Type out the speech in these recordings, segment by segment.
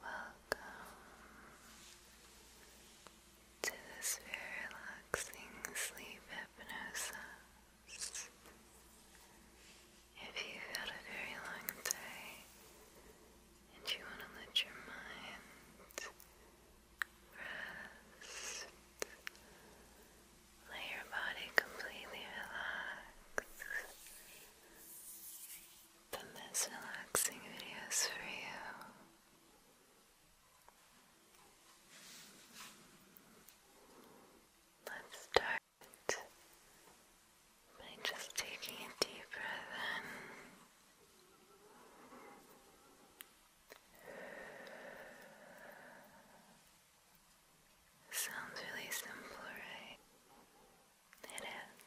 Welcome to this very relaxing sleep hypnosis. If you've had a very long day and you want to let your mind rest, let your body completely relax. this relaxing videos for you. Let's start by just taking a deep breath in. Sounds really simple, right? It is.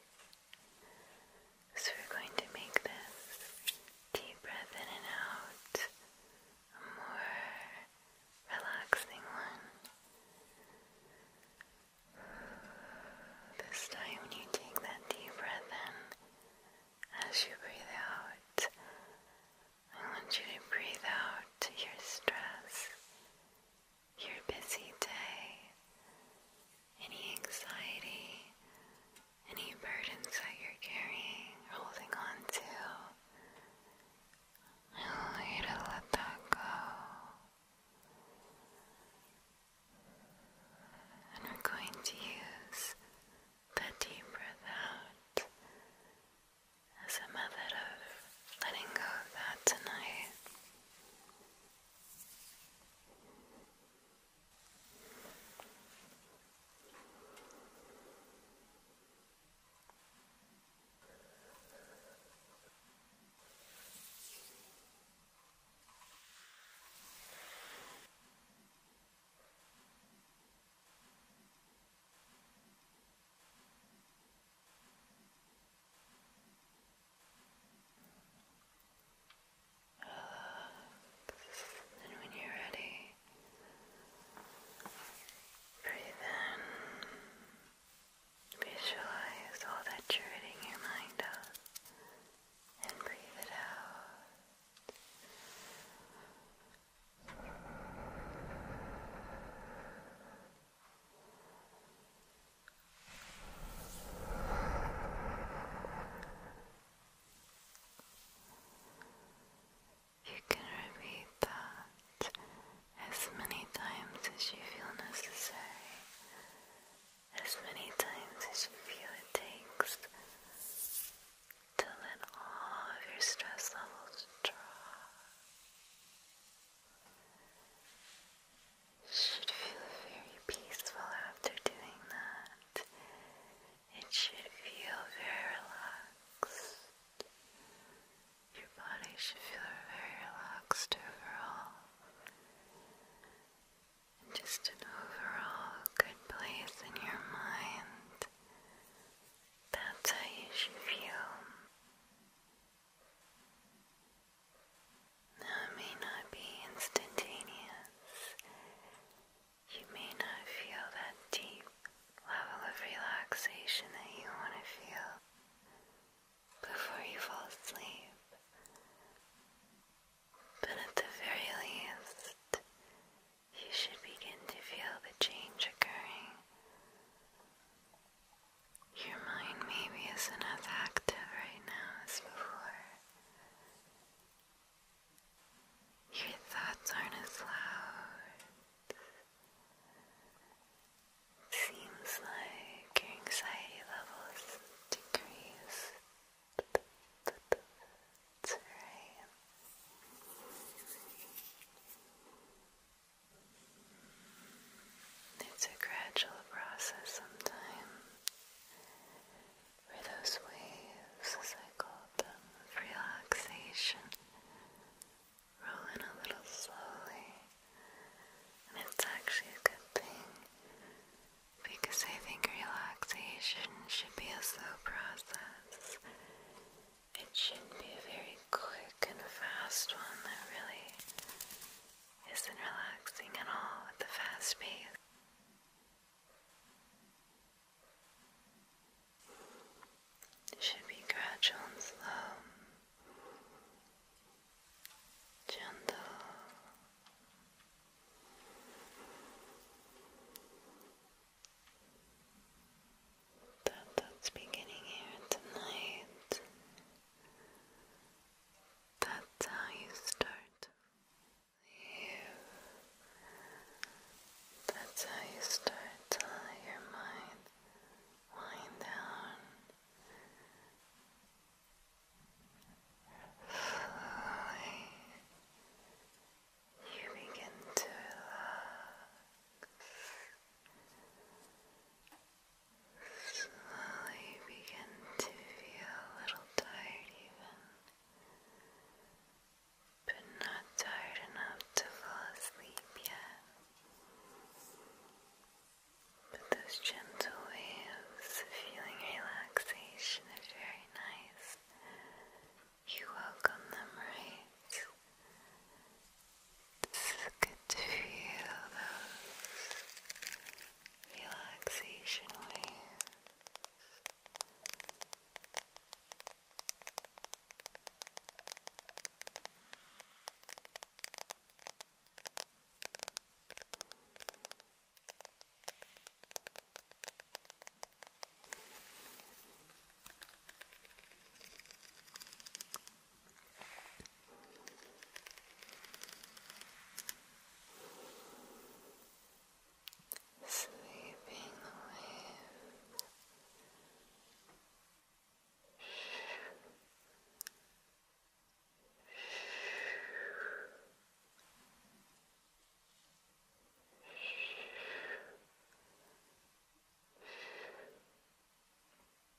So we're going to make this deep breath in and out a more relaxing one. This time you take that deep breath in as you breathe out. I want you to breathe out your stress your busy day, any anxiety, any burdens that you're carrying, holding on to. I want you to let that go. And we're going to use the deep breath out as a method of letting go of that tonight. Relax. And when you're ready, breathe in. Visualize all that you're ridding your mind of and breathe it out. You can repeat that as many times as you feel necessary, as many times as you feel it takes to let all of your stress levels drop should feel very peaceful after doing that. It should feel very relaxed. Your body should feel very relaxed overall. And just an overall good place in your mind. That's how you should feel. Now it may not be instantaneous. You may not feel that deep level of relaxation that you want to feel before you fall asleep. But at the very least, you should begin to feel the change occurring your mind maybe isn't as active right now as before. Your thoughts aren't as loud. Seems like your anxiety levels decrease. That's right. It's a gradual process sometimes where those waves, as I call them, relaxation roll in a little slowly. And it's actually a good thing because I think relaxation should be a slow process. It should not be a very quick and fast one that really isn't relaxing at all at the fast pace. It should be gradual and slow, gentle that's beginning here tonight. That's how you start. You. That's how you start to your mind wind down. Slowly, you begin to relax. Slowly begin to feel a little tired, even, but not tired enough to fall asleep yet. But those gentle waves feeling relaxation are very nice. You welcome them, right? It's good to feel those relaxation Sweeping the wave. Sweeping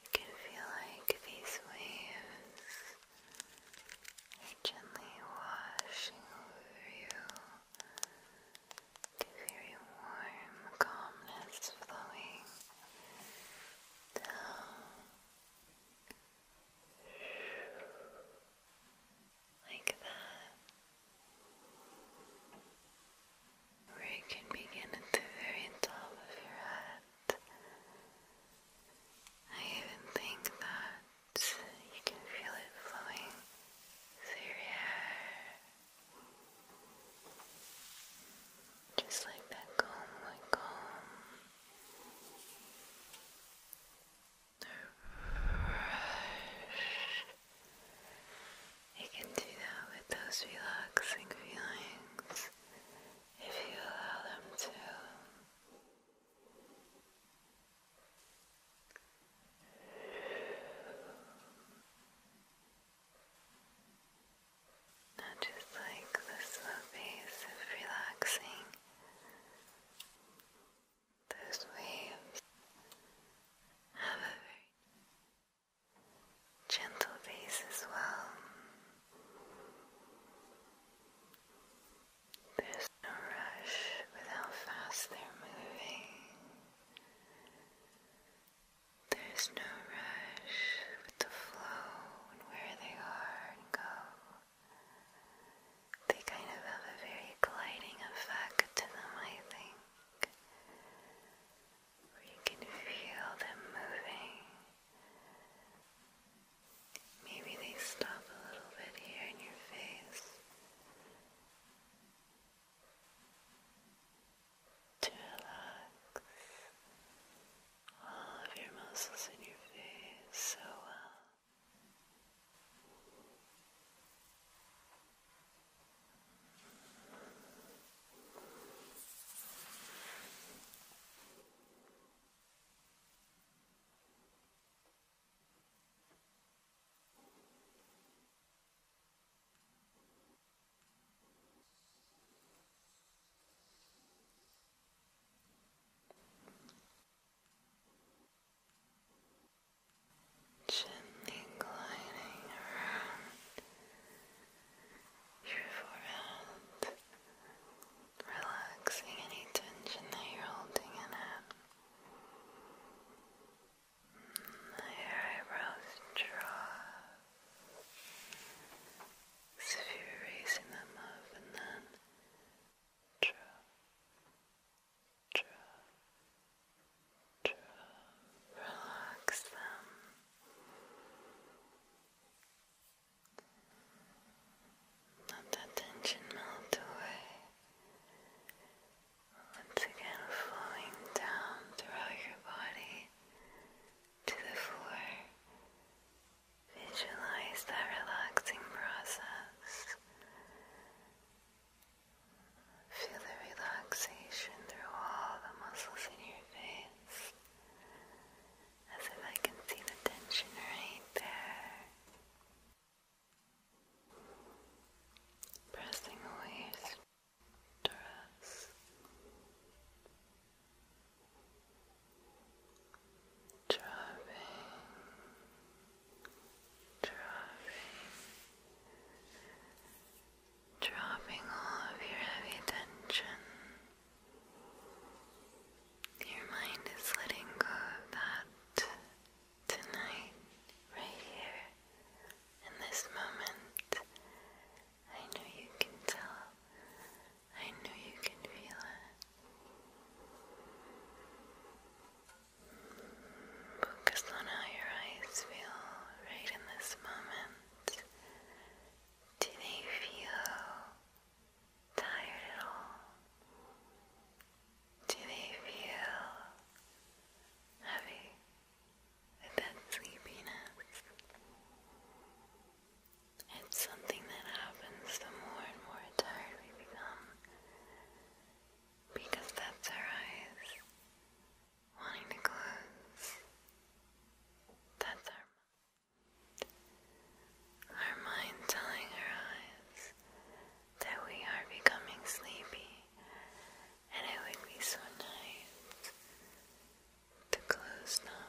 You can feel like these waves are gently washing over you, a very warm calmness flowing down. Like that where you can begin at the very top of your head. I even think that you can feel it flowing through your hair. Just like that comb would comb. You can do that with those relaxing feelings if you allow them to. Not just like the slow pace of relaxing, those waves have a very gentle pace as well. There's no rush with how fast they're moving. There's no rush with the flow and where they are and go. They kind of have a very gliding effect to them, I think where you can feel them moving. Maybe they stop a little bit here in your face to relax all of your muscles in your face so well. Gently gliding around your forehead, relaxing any tension that you're holding in it. Your eyebrows draw as if you're raising them up and then draw, draw, draw, relax them. Let that tension melt away. Once again, flowing down throughout your body to the floor. Visualize that relaxing process. Feel the relaxation through all the muscles in your face as if I can see the tension right there. Pressing away stress. Driving, driving, dropping all of your heavy tension. Your mind is letting go of that tonight, right here, in this moment. I know you can tell, I know you can feel it. Focus on how your eyes feel right in this moment. Do they feel tired at all? Do they feel heavy with that sleepiness? It's something that happens the more and more tired we become because that's our eyes wanting to close that thermal. Our mind telling our eyes that we are becoming sleepy, and it would be so nice to close them.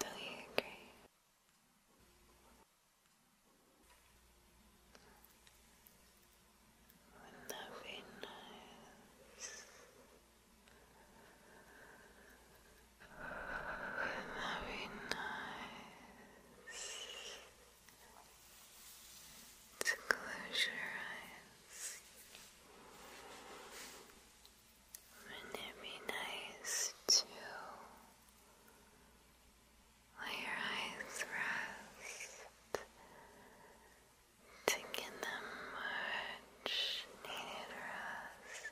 Do you agree? with every nose, with every nose, to close your eyes. Wouldn't it be nice to let your eyes rest, taking them much needed rest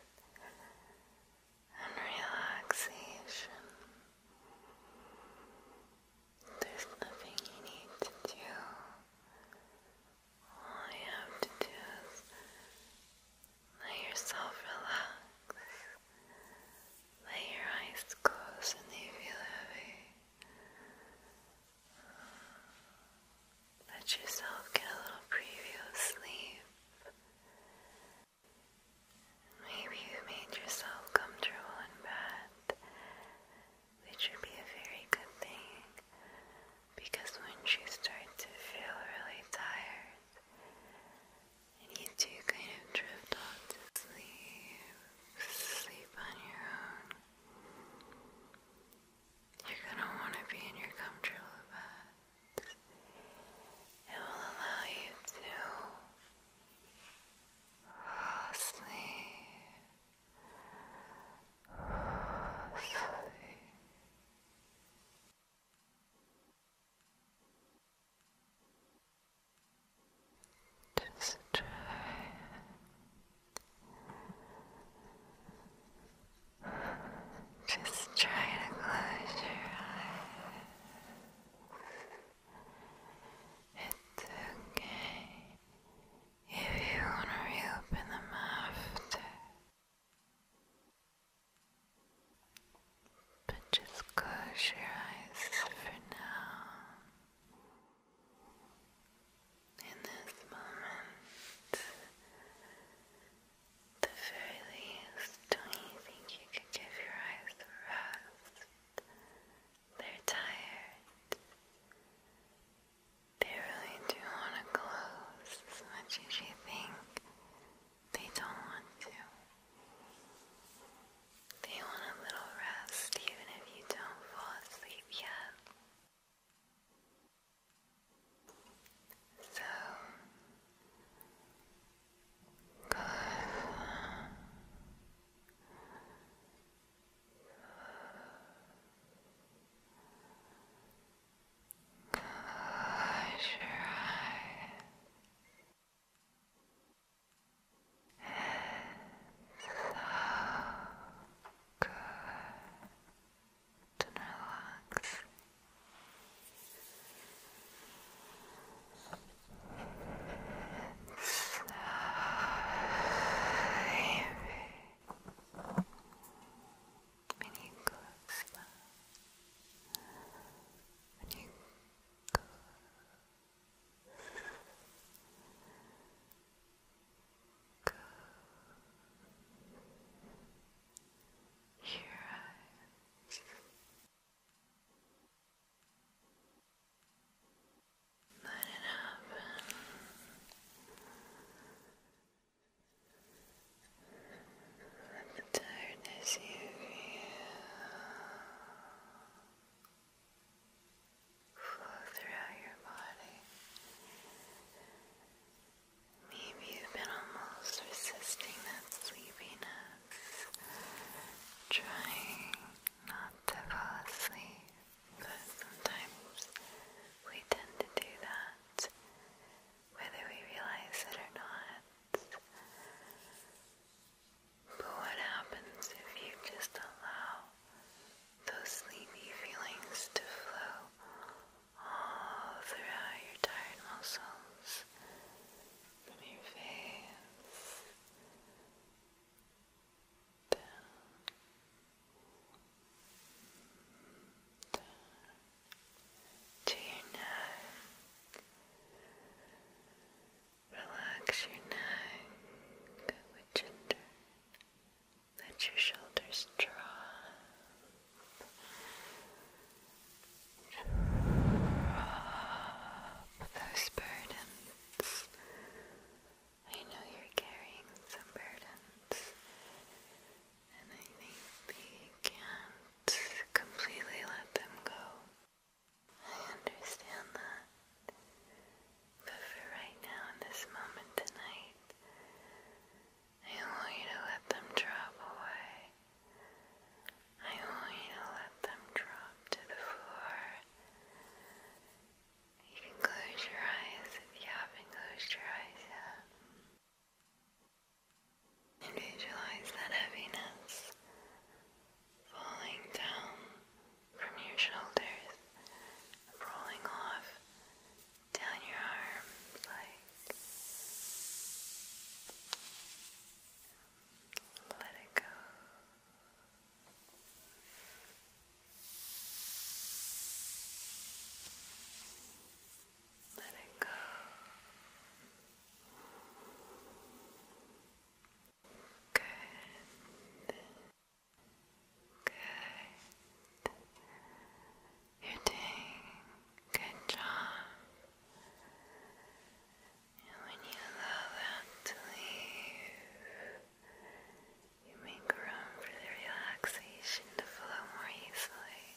and relaxation. There's nothing you need to do. All you have to do is let yourself relax. Let your eyes close and they feel heavy. Let yourself get a little preview of sleep. Maybe you made yourself comfortable in bed, which would be a very good thing because when you start to feel really tired and you do kind of drift off to sleep, sleep on your own. You're going to want to be in your comfortable bed. It will allow you to fall asleep. Just try just try to close your eyes. It's okay if you want to reopen them after. But just close your eyes for now. In this moment, the very least, you think give your eyes rest? They're tired. They really do want to close as much as you think they don't want to. They want a little rest even if you don't fall asleep yet. So Close your eyes good and relax. so heavy. When you go slow, when you go Good. Your Let it happen. Let the tiredness you feel flow throughout your body. Maybe you've been almost resisting that sleepiness, trying not to fall asleep, but sometimes we tend to do that, whether we realize it or not. But what happens if you just allow those sleepy feelings to flow all throughout your tired muscles, from your face down, to your neck? Relax your neck, let your shoulders drop. Drop those burdens. I know you're carrying some burdens, and I think that can't completely let them go. I understand that. But for right now, in this moment tonight, I want you to let them drop away. I want you to let them drop to the floor. You can close your eyes if you haven't closed your eyes yet. And visualize that heaviness falling down from your shoulders, rolling off down your arms let it go. Let it go. Good. Good. You're doing a good job. And when you allow that to leave, you make room for the relaxation to flow more easily.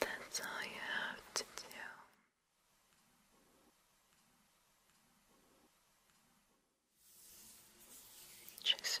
That's all you have to do. Just relax.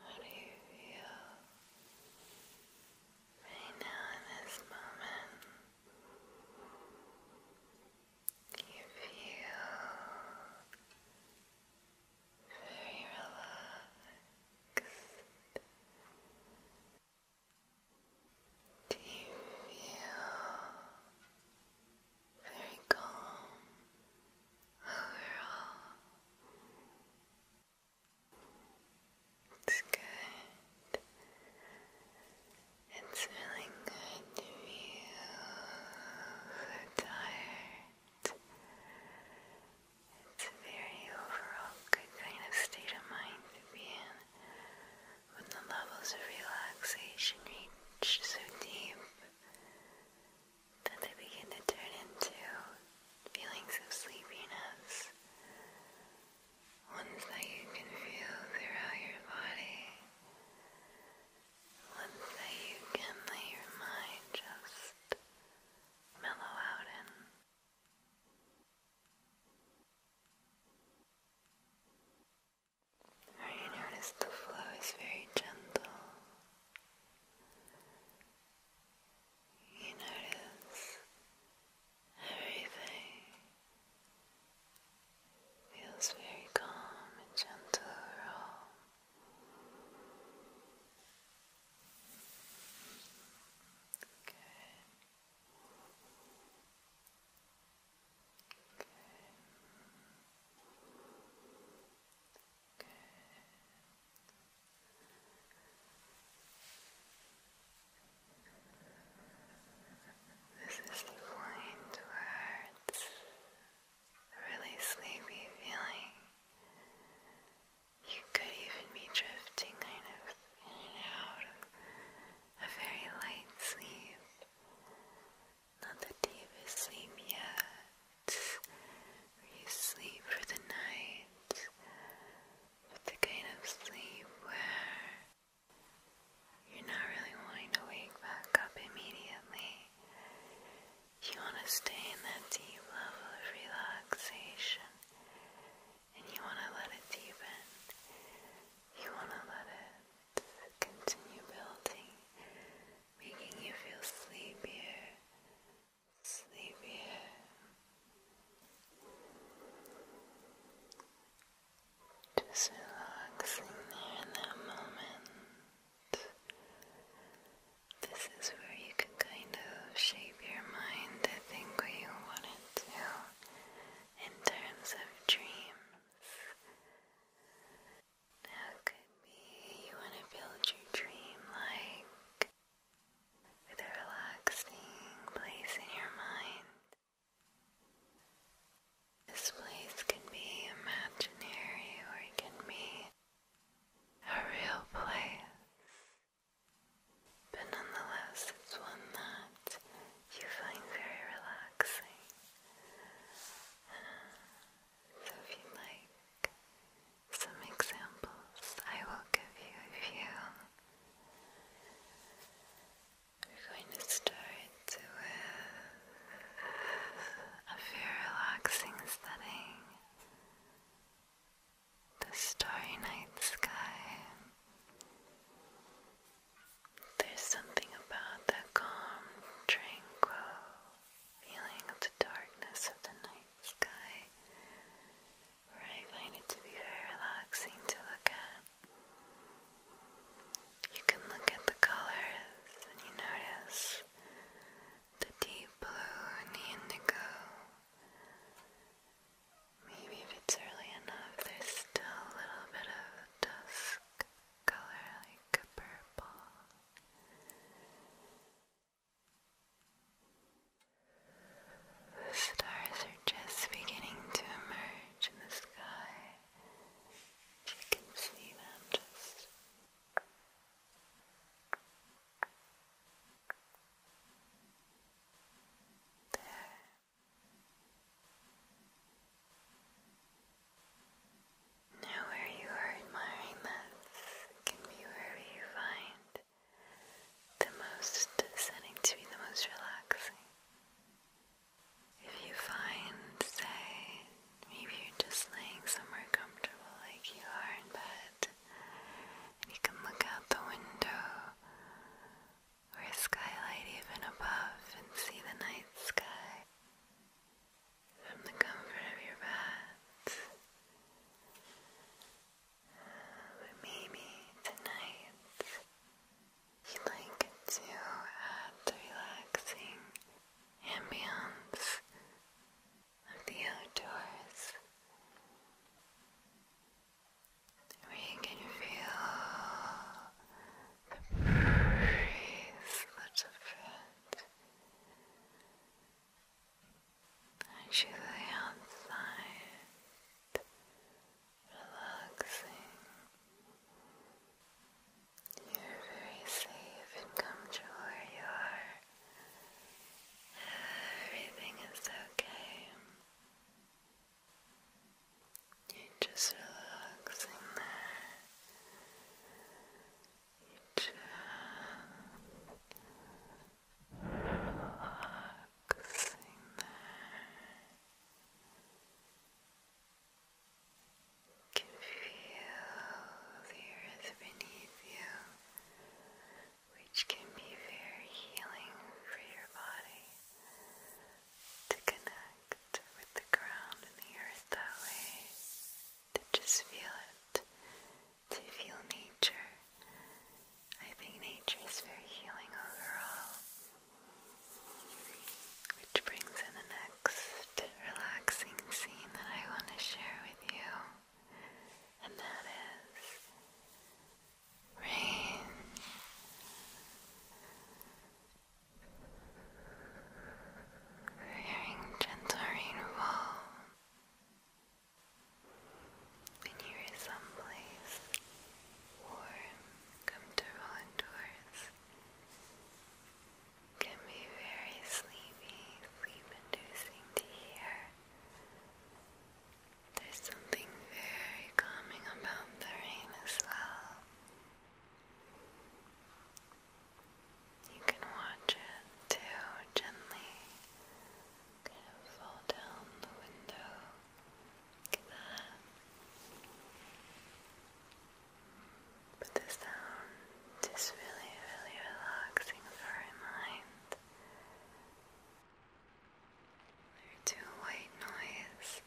How do you feel right now in this moment? You feel very relaxed. Do you feel very calm overall. It's good. It's really good to be so tired. It's a very overall good kind of state of mind to be in when the levels of relaxation reach so deep that they begin to turn into feelings of sleepiness, ones that you can feel throughout your body, ones that you can let your mind just mellow out in. Or you notice the flow is very gentle. You notice everything feels very calm and gentle overall. Good. Good. This is flying towards a really sleepy feeling. You could even be drifting kind of in and out of a very light sleep. Not the you've asleep yet. Were you sleep for the night? But the kind of sleep where you're not really wanting to wake back up immediately. You want to stay in that deep level of relaxation and you want to let it deepen. You want to let it continue building making you feel sleepier, sleepier. Just relaxing there in that moment. This is where you can kind of shape your mind to think what you want it to in terms of dreams it could be you want to build your dream like a relaxing place in your mind. This place can be imaginary or it can be a real place. But nonetheless, it's one that you find very relaxing. So if you'd like some examples, I will give you a few. We're going to start with a very relaxing setting. The starry night sky. There's something about that calm, tranquil feeling of the darkness of the night sky, where I find it to be very relaxing to look at. You can look at the colors and you notice the deep blue and the indigo. Maybe if it's early enough, there's still a little bit of dusk color like a purple the stars are just beginning to emerge in the sky. You can see them just. There. Now where you are admiring this can be wherever you find the most setting to be the most relaxing. If you find, say, maybe you're just laying somewhere comfortable like you are in bed, and you can look out the window or skylight even above and see the night sky from the comfort of your bed. But maybe tonight you'd like to add the relaxing ambience of the outdoors where can feel the breeze that the and she's outside relaxing. You're very safe and comfortable where you are. Everything is okay. You're just relaxing there relaxing there. Can feel the earth beneath you, which can be very healing for your body to connect with the ground and the earth that way to just feel it, to feel nature. I think nature is very healing overall. Which brings in the next relaxing scene that I want to share with you, and that is rain hearing gentle rainfall, and you someplace warm, comfortable indoors. Can be very sleepy, sleep-inducing to hear. There's something very calming about the rain as well. You can watch it too gently. Kind of fall down the window. Look at that. But really, really relaxing for our mind. There are two white noise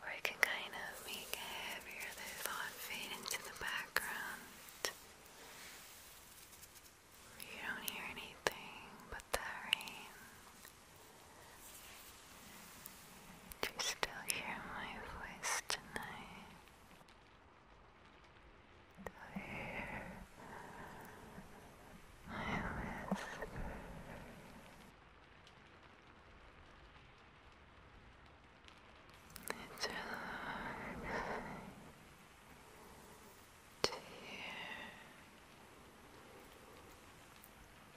where it can kind of make heavier the thoughts not fade into the background. You don't hear anything but that rain. Do you still hear my voice tonight? Do you hear my whisper? It's to hear,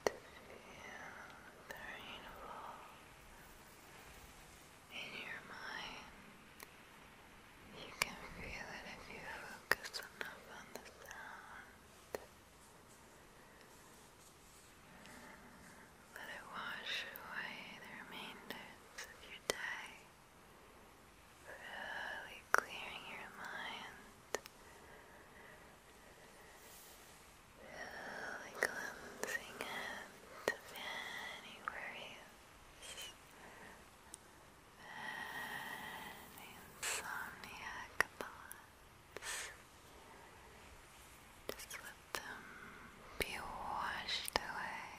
to feel the rainfall in your mind. You can feel it if you focus enough on the sound. Let it wash away the remainders of your day, really clearing your mind, really cleansing it of any worries, any insomniac thoughts. Just let them be washed away.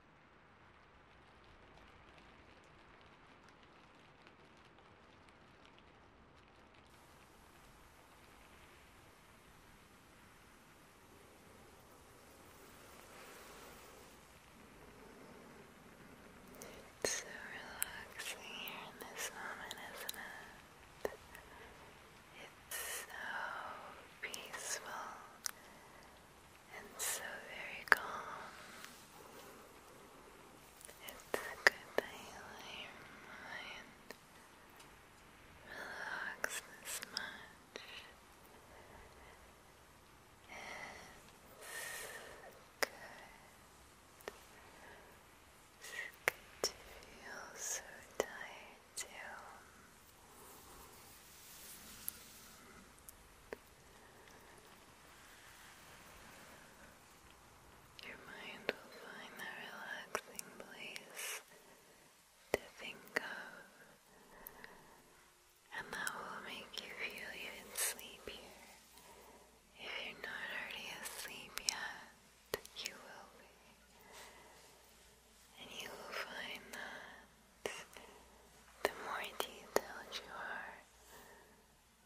It's so relaxing here in this moment, isn't it? It's so peaceful and so very calm. It's good that you lay relaxed this much. It's good. It's good to feel so tired too. Your mind will find that relaxing place to think of, and that will make you feel even sleepier. If you're not already asleep yet, you will be. And you will find that the more detailed you are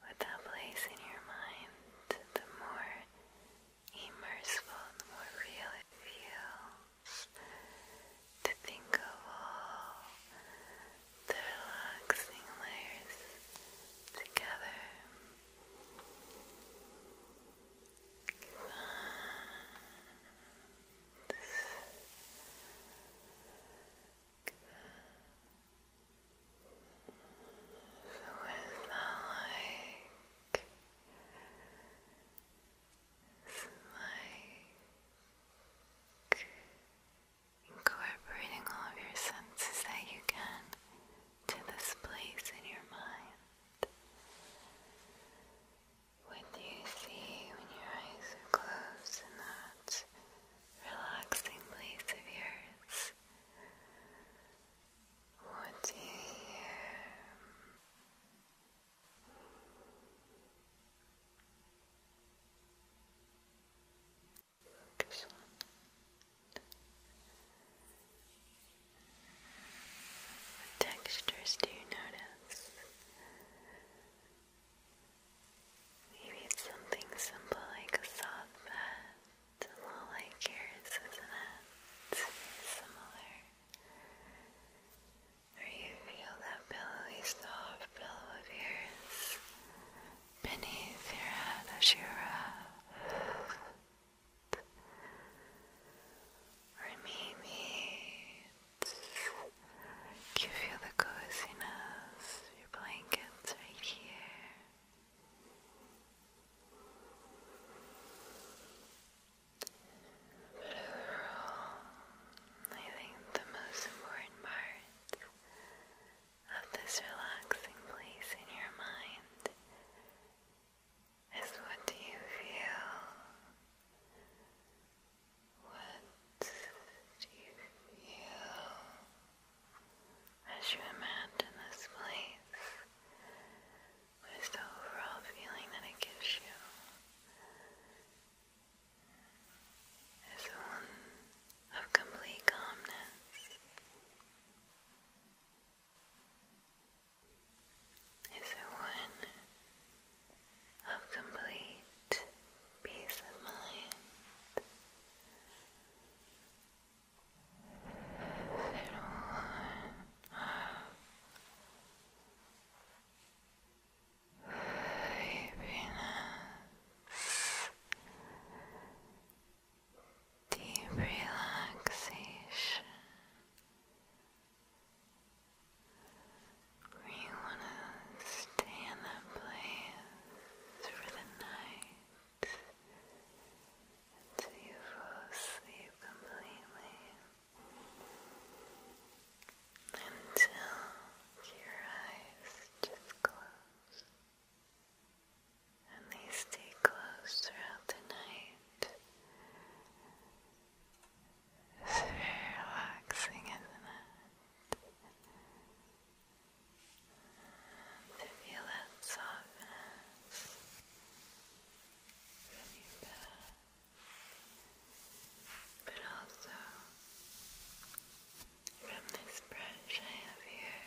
with that place in your mind, the more immersive, the more real it feels to think of all the relaxing layers together. So it's like incorporating all of your senses that you can to this place in your mind. What do you see when your eyes are closed and that's relaxing place of yours. What do you hear? textures do you notice? Maybe it's something simple like a soft bed, a little like yours, isn't it? similar. Or you feel that pillowy, soft pillow of yours beneath your head as you rest. Or maybe you feel the coziness, your blankets right here. But overall, I think the most important part of this relaxing place in your mind is what do you feel? What do you feel as you imagine this place? What is the overall feeling that it gives you? Is it one of complete calmness? Is it one of complete peace of mind. Happiness, deep relaxation, where you want to stay in that place for the night until you fall asleep completely. Until your eyes just close. And they stay closed throughout the night it's very relaxing, isn't it? To feel that softness from your back, but also from this brush I have here.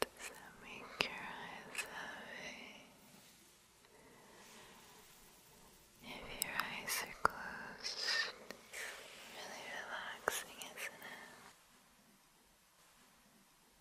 does that make your eyes heavy? If your eyes are closed, it's really relaxing, isn't it?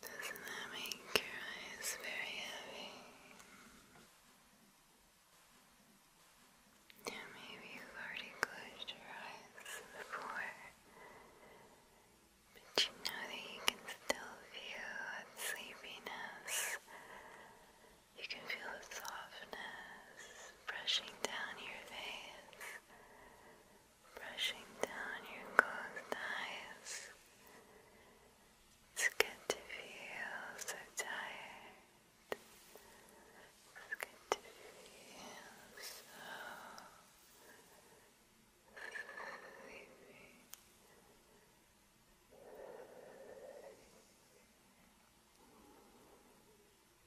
does that make your eyes very heavy? Yeah, maybe you've already closed your eyes before, but you know that you can still feel that sleepiness you can feel the softness brushing down your face, brushing down your closed eyes. It's good to feel so tired. It's good to feel so sleepy.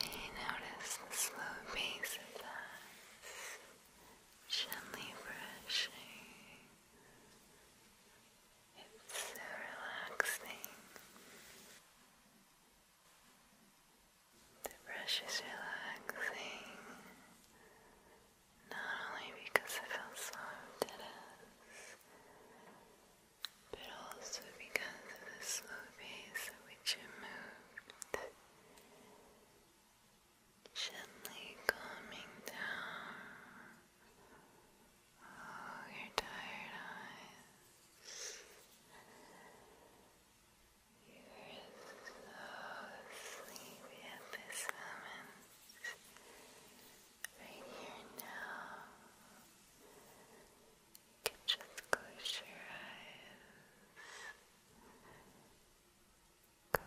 You notice the slow pace of that, gently brushing. It's so relaxing. The brush is relaxing. Not only because I felt so deadass, but also because of the slow pace at which it moved, gently calming down. Oh, your tired eyes. You are so sleepy at this moment right here now. You can just close your eyes. Close. Close.